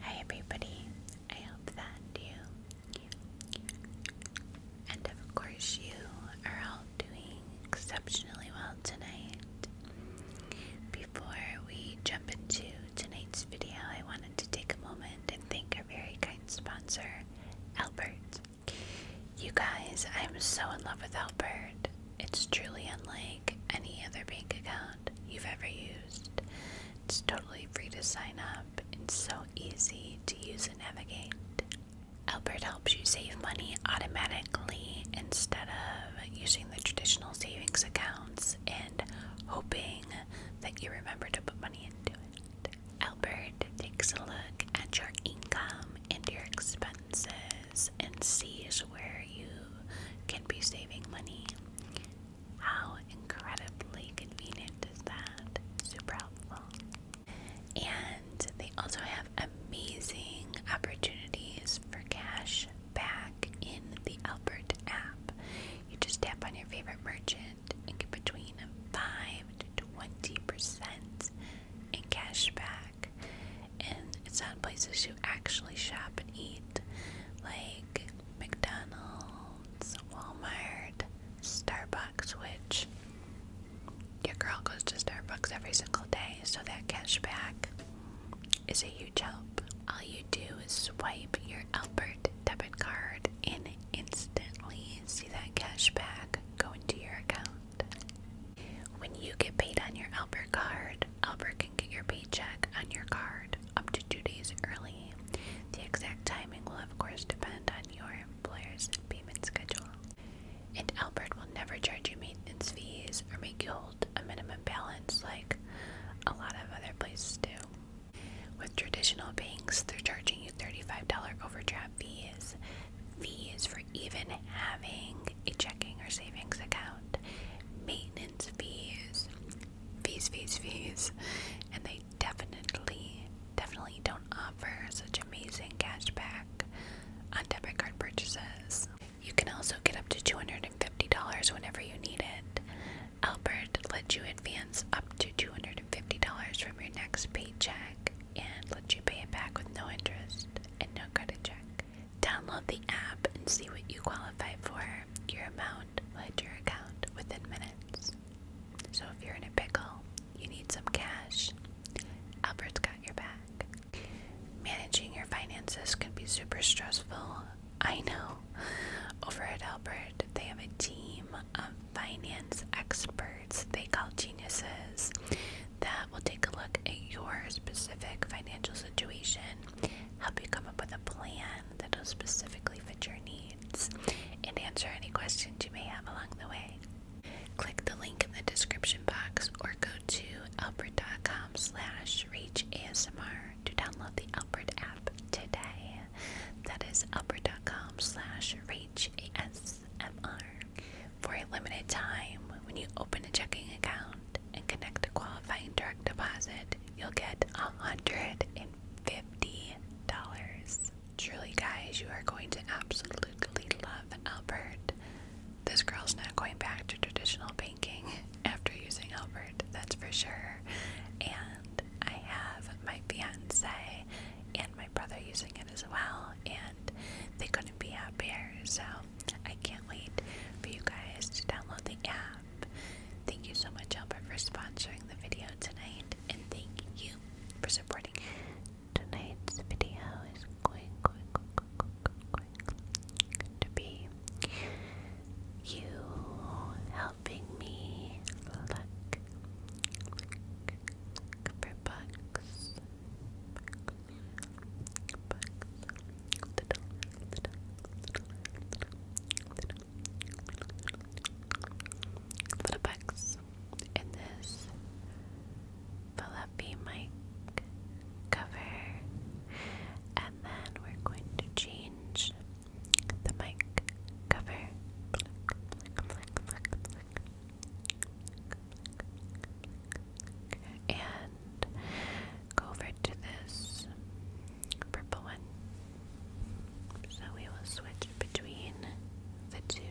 Hi everybody, I hope that you and of course you are all doing exceptionally well tonight. Before we jump into tonight's video, I wanted to take a moment and thank our very kind sponsor, Albert. You guys, I am so in love with Albert. It's truly unlike any other bank account you've ever used. It's totally free to sign up It's so easy to use and navigate. Albert helps you save money automatically instead of using the traditional savings accounts and hoping that you remember to put money into it. Albert takes a look at your income and your expenses and sees where you can be saving money. How incredibly convenient is that? Super helpful. And they also have amazing opportunities for cash back in the Albert app. You just tap on your favorite merchant and get between 5 to 20% in cash back. And it's on places you actually shop and eat, like McDonald's, Walmart, Starbucks, which your girl goes to Starbucks every single day, so that cashback is a huge help. All you do is swipe your Albert debit card and instantly see that cashback go into your account. When you get paid on your Albert card, Albert your paycheck on your card up to two days early. The exact timing will, of course, depend on your employer's payment schedule. And Albert will never charge you maintenance fees or make you hold a minimum balance like a lot of other places do. With traditional banks, they're charging you $35 overdraft fees, fees for even having a checking or savings account, maintenance fees, fees, fees, fees, and they definitely, definitely don't offer such amazing cash back on debit card purchases. You can also get up to $250 whenever you need it. Albert lets you advance up to $250 from your next paycheck and lets you pay it back with no interest and no credit check. Download the app and see what you qualify for, your amount, will your account within minutes. So if you're in a pickle, you need some cash, Albert's got your back. Managing your finances can be super stressful. I know. Over at Albert, they have a team of finance experts they call geniuses that will take a look at your specific financial situation help you come up with a plan that'll specifically fit your needs, and answer any questions you may have along the way. Click the link in the description box or go to Alpert.com slash reachasmr to download the Alpert app today. That is Alpert.com slash upper.com/slash/reachASMR For a limited time, when you open a checking account, and connect a qualifying direct deposit, you'll get $150. Truly, guys, you are going to absolutely love Albert. This girl's not going back to traditional banking after using Albert, that's for sure. And I have my fiance and my brother using it as well, and they couldn't be happier. So I can't wait for you guys to download the app. Thank you so much, Albert, for sponsoring the video tonight, and thank you for supporting tonight's video. Is going, to be you helping me look, for bugs, the bugs in this fluffy mic cover, and then we're going to change the mic cover. And go over to this purple one. So we will switch between the two.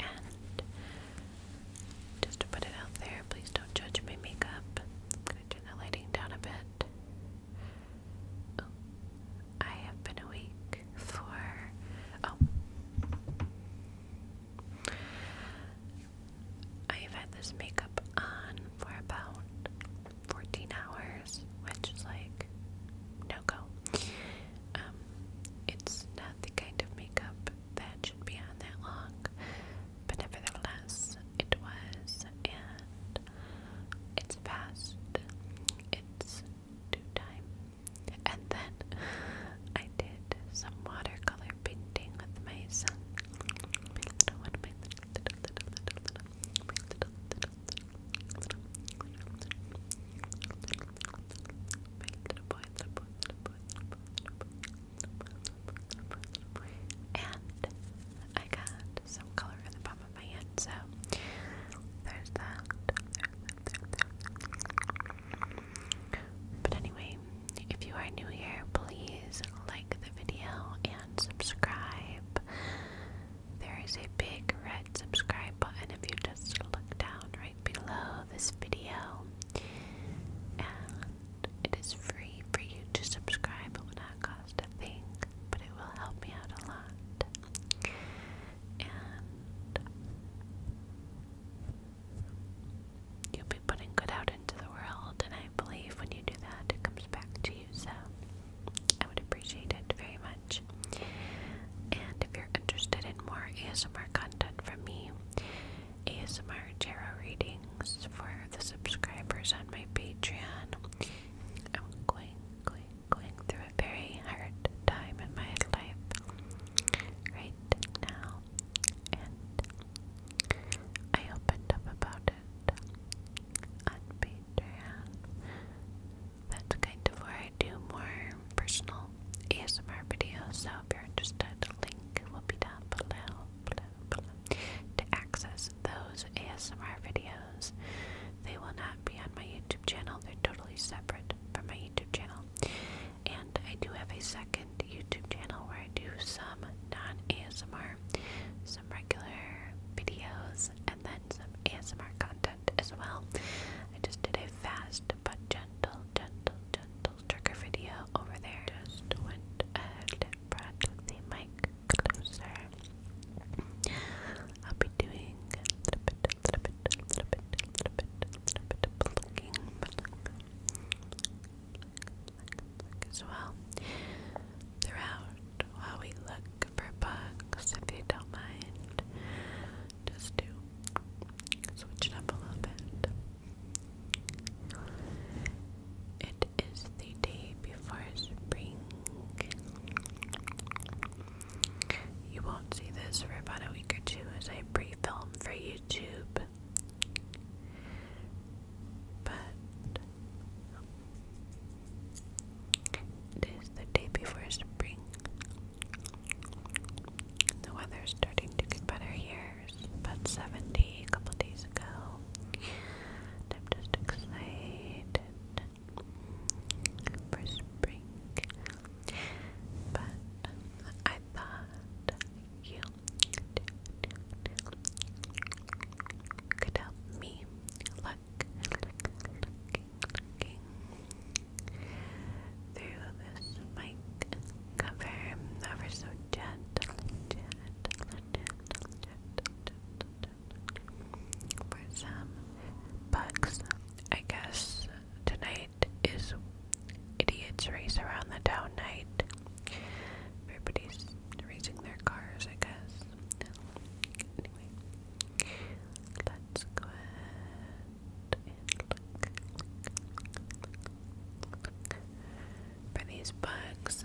And just to put it out there, please don't judge my makeup. gonna turn the lighting down a bit. Oh, I have been awake for. Oh. I've had this makeup on for about 14 hours, which is like no go. Um, it's not the kind of makeup that should be on that long, but nevertheless, it was, and it's past It's due time and then I did some watercolor painting with my son. And I got some color in the palm of my hand, so There's that. But anyway, if you are new here, please like the video and subscribe. There is a big red subscribe button if you just look down right below this video. And it is free for you to subscribe. It will not cost a thing, but it will help me out a lot. You'll be putting good out into the world, and I believe when you do that, it comes back to you. So I would appreciate it very much. And if you're interested in more ASMR content from me, ASMR tarot readings for the subscribers on my Patreon, I'm going, going, going through through a very hard time in my life right now, and I opened up about it on Patreon. That's kind of where I do more personal ASMR videos, so if you're interested, the link will be down below to access those ASMR videos. They will not be on my YouTube channel, they're totally separate from my YouTube channel. And I do have a second YouTube channel where I do some non ASMR, some regular videos, and then some ASMR content as well. I just did a fast but gentle, gentle, gentle trigger video over there. Just went ahead and brought the mic closer. I'll be doing bit, little throughout while we look for bugs, if you don't mind, just do switch it up a little bit. It is the day before spring. You won't see this for about a week or two as a pre film for YouTube. But it is the day before spring. The weather starting to get better here. It's about 70 a couple days ago. I'm just excited for spring. But I thought you could help me look, through this mic cover ever so gentle, for some bugs, I guess, tonight is Idiots Race Around the Town night. Everybody's racing their cars, I guess. let's go For these bugs,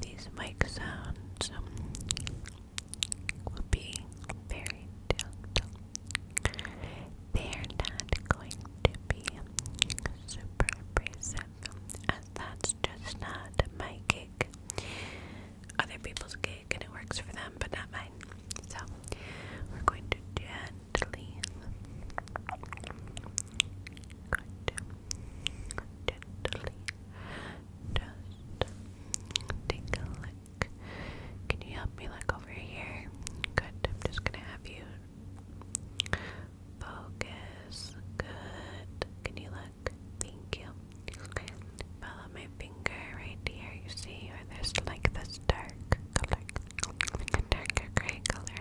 These mic sounds will be very gentle. They're not going to be super abrasive, as that's just not my gig. Other people's gig and it works for them, but not mine. So we're going to gently, gently, just take a look. Can you help me look over here? Good. I'm just gonna have you focus. Good. Can you look? Thank you. Okay. Follow my finger right here, you see or there's like this dark color, a darker gray color,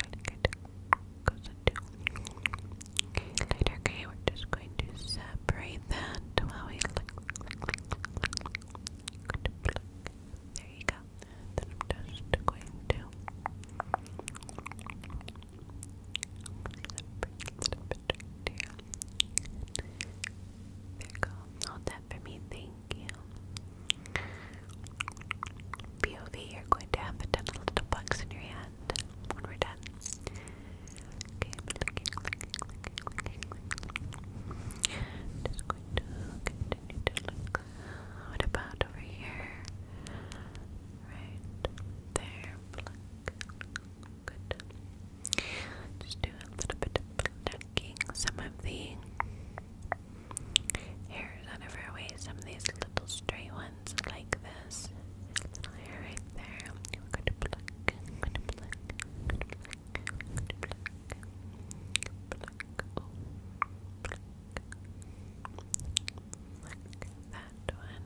goes into lighter gray. We're just going to separate that while we look. There you go. Then I'm just going to separate it a here. There you go for me. Thank you. POV, you're going to have a ton little bugs in your hand when we're done. Okay, just going to continue to look. What about over here? Right there. Pluck. Just do a little bit of some of the hairs out of her way, some of these little stray ones like this. Little hair right there. I'm going to pluck, I'm going to pluck, I'm going to pluck, I'm going to pluck, pluck, oh, pluck, pluck that one,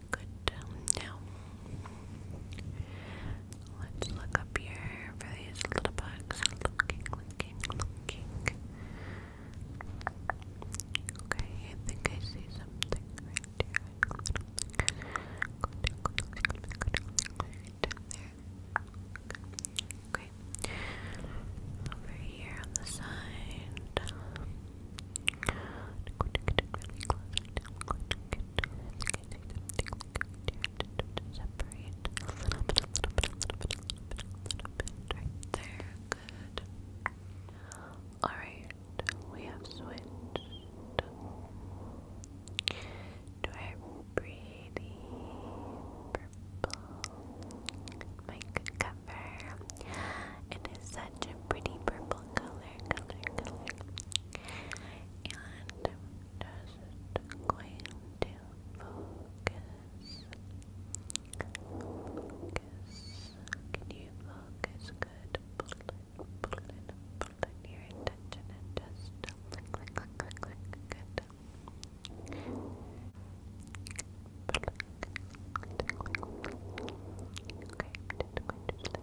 Good. Now, let's look up here for these little bugs. Looking, looking, looking. Okay, I think I see something right there. Right there. Okay. Over here on the side alright, we have switched to our pretty purple mic cover it is such a pretty purple color color, And I'm just going to focus. Focus. Can you focus? Good. your attention just Okay,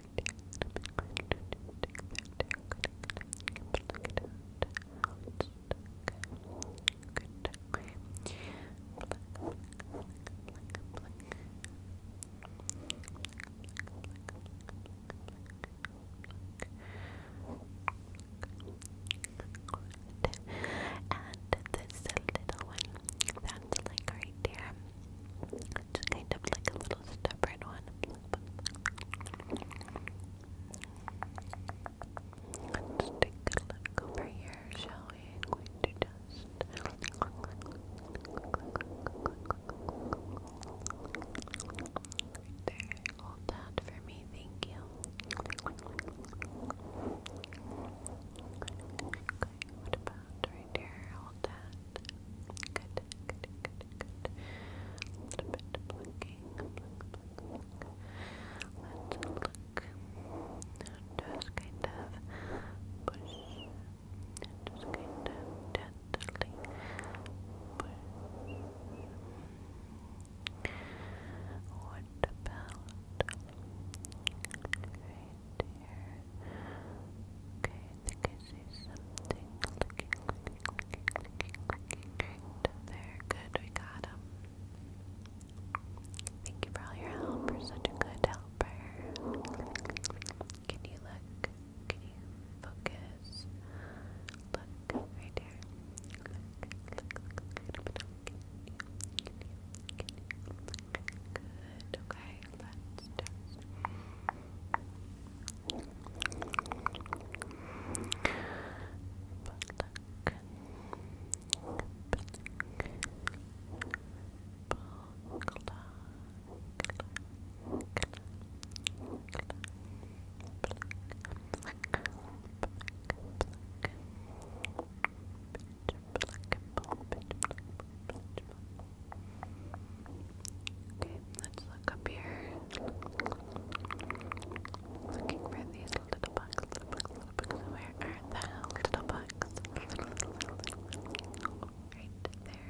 and this little one that's like right there just kind of like a little stubborn one. let a look over here, shall we? going to just there. Hold that for me, thank you. Okay, what about that right here. Hold that. Good, good, good, good. Let's look. Just kind of push. Just kind of gently push. What about? Right Okay, think I see something looking, looking, looking, looking, looking right there. Good, we got him. Thank you for all your help. You're such a good helper. Can you look? Can you focus? Look right there. Look, look, look, look, look. Can you, can you, can you? Good it. Okay, let's test. Okay, let's look up here. Looking for these little bugs, Where are the little bugs? right there.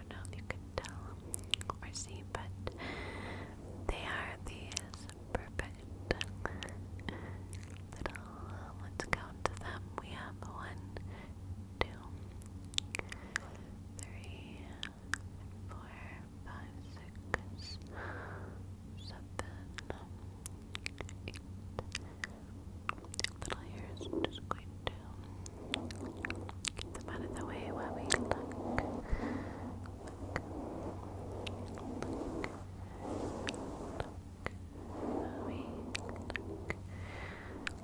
don't know if you can tell or see, but they are these perfect little. Let's count them. We have one, two, three, four, five, six, seven, eight. Little ears. just going to Get them out of the way while we look. Look. Look. Look. We look.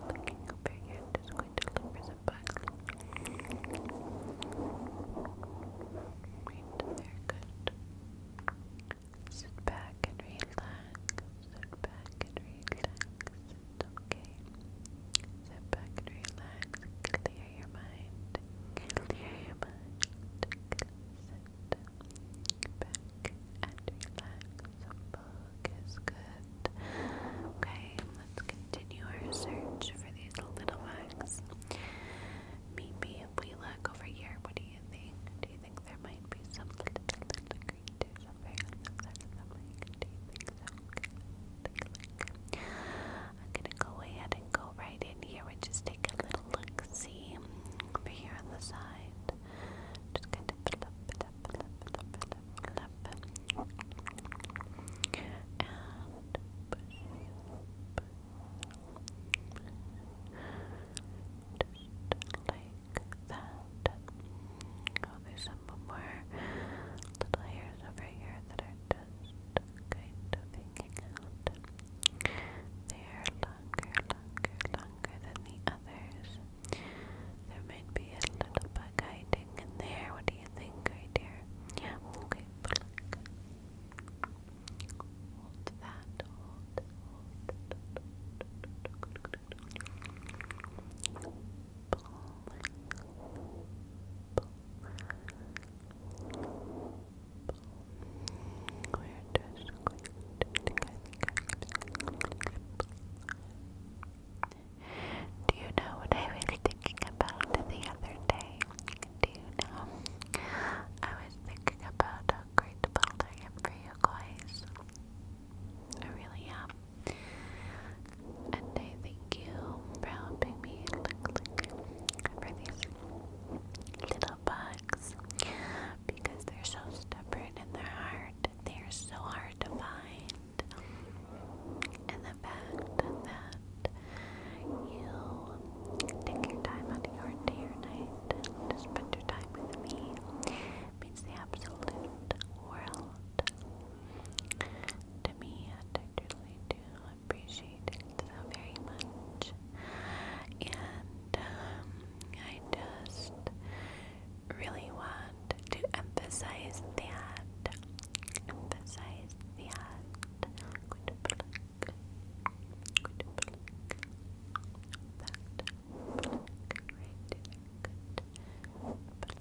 Looking over here, I'm just going to look for some bugs. Right there, good. Sit back and relax. Sit back and relax. It's okay. Sit back and relax. Clear your mind. Clear your mind. Sit back and relax. Book is good. Okay, let's continue our search for these little ones. Meet me if we look over here. What do you think? Do you think there might be some little, little creatures over here? Do you think so? Okay, click, click. I'm gonna go ahead and go right in here. We just take a little look, see over here on the side. Just kind of flip, flip, flip, flip, flip, flip. push, push. like that. Oh, there's some more little hairs flowers over here that are just kind They are longer, longer, longer than the others. There might be a little bug hiding in there. What do you think, right here? Yeah, do you know what I was thinking about the other day? Do you know? I was thinking about how grateful I am for you guys. I really am. And I thank you for helping me for these little bugs because they're so stubborn and they're They are so hard to find. And the fact that you take your time out your day or night and spend your time with me means the absolute world to me, I truly do appreciate it so very much. And um, I just really want to emphasize that. Emphasize that.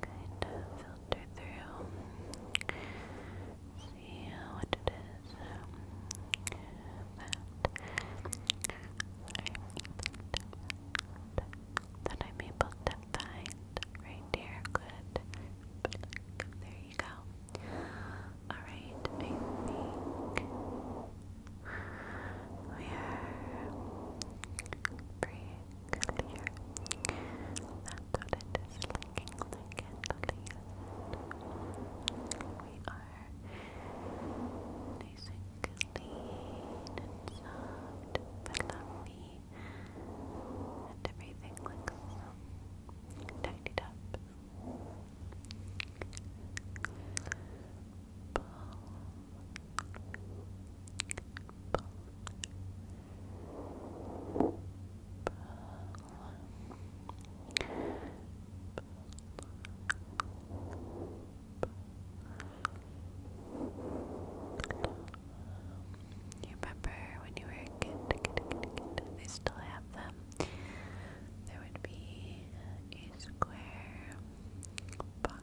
kind of filter through, see what it is that that I'm able to find right there. Good. There you go. Alright, I think we are pretty clear. That's what it is looking like and clear. We are nice and clean and and everything looks tidied up. You remember when you were a kid, kid, still have them. There would be a square box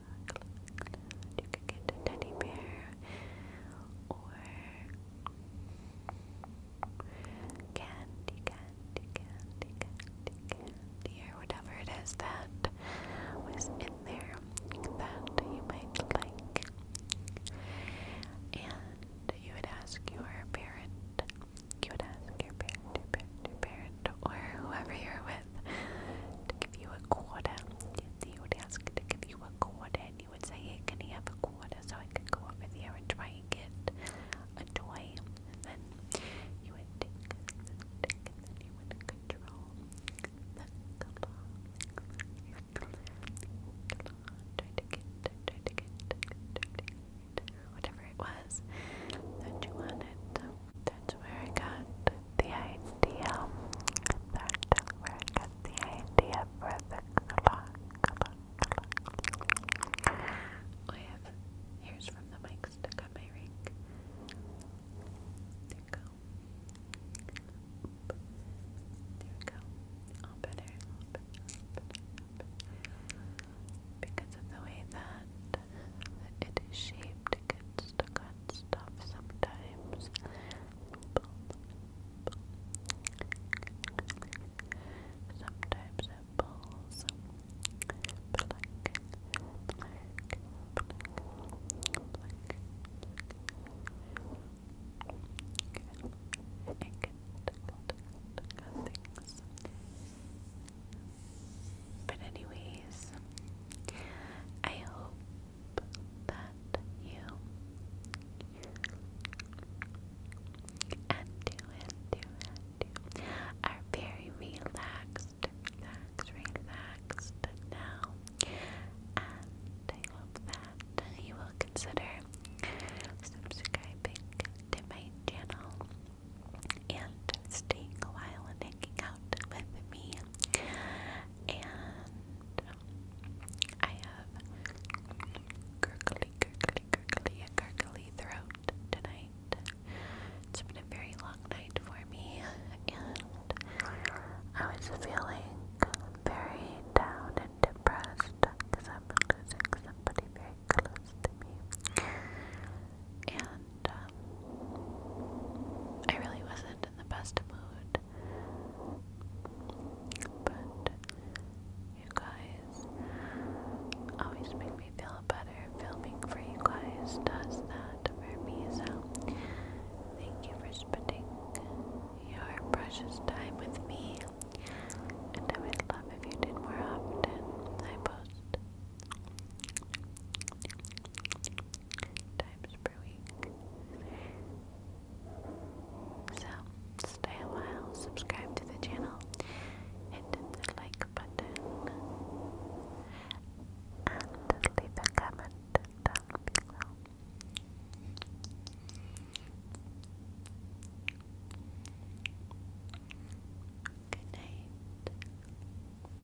You could get a teddy bear or candy, candy, candy, candy, candy, or whatever it is that was in there that you might like. And you would ask your parent, you would ask your parent, parent, parent, or whoever you're with to give you a quarter. You would ask to give you a quarter, and you would say, hey, can you have a quarter so I could go over there and try and get a toy? And then you would take the stick, and then you would control the color. Try to get, try to get, try to get, whatever it was that you wanted. That's where I got the idea. That's where I got the idea for the clock. I have hairs from the mic stuck on my ring. There we go. There we go. All better, Because of the way that it is shaped, stuck on sometimes. Sometimes But anyways, I hope that you and do and do are very relaxed, relaxed, relaxed now. And I hope that you will consider subscribing to my channel and staying a while and hanging out with me and I have gurgly, gurgly, gurgly, a gurgly throat tonight. It's been a very long night for me, and I was feeling very down and depressed because I'm losing somebody very close to me. And um, I really wasn't in the best mood. But you guys always make me feel better. Filming for you guys does that for me, so thank you for spending your precious time with me. And I would love if you did more often. I post times per week. So, stay a while, subscribe to the channel, hit the like button, and leave a comment down below. Good night.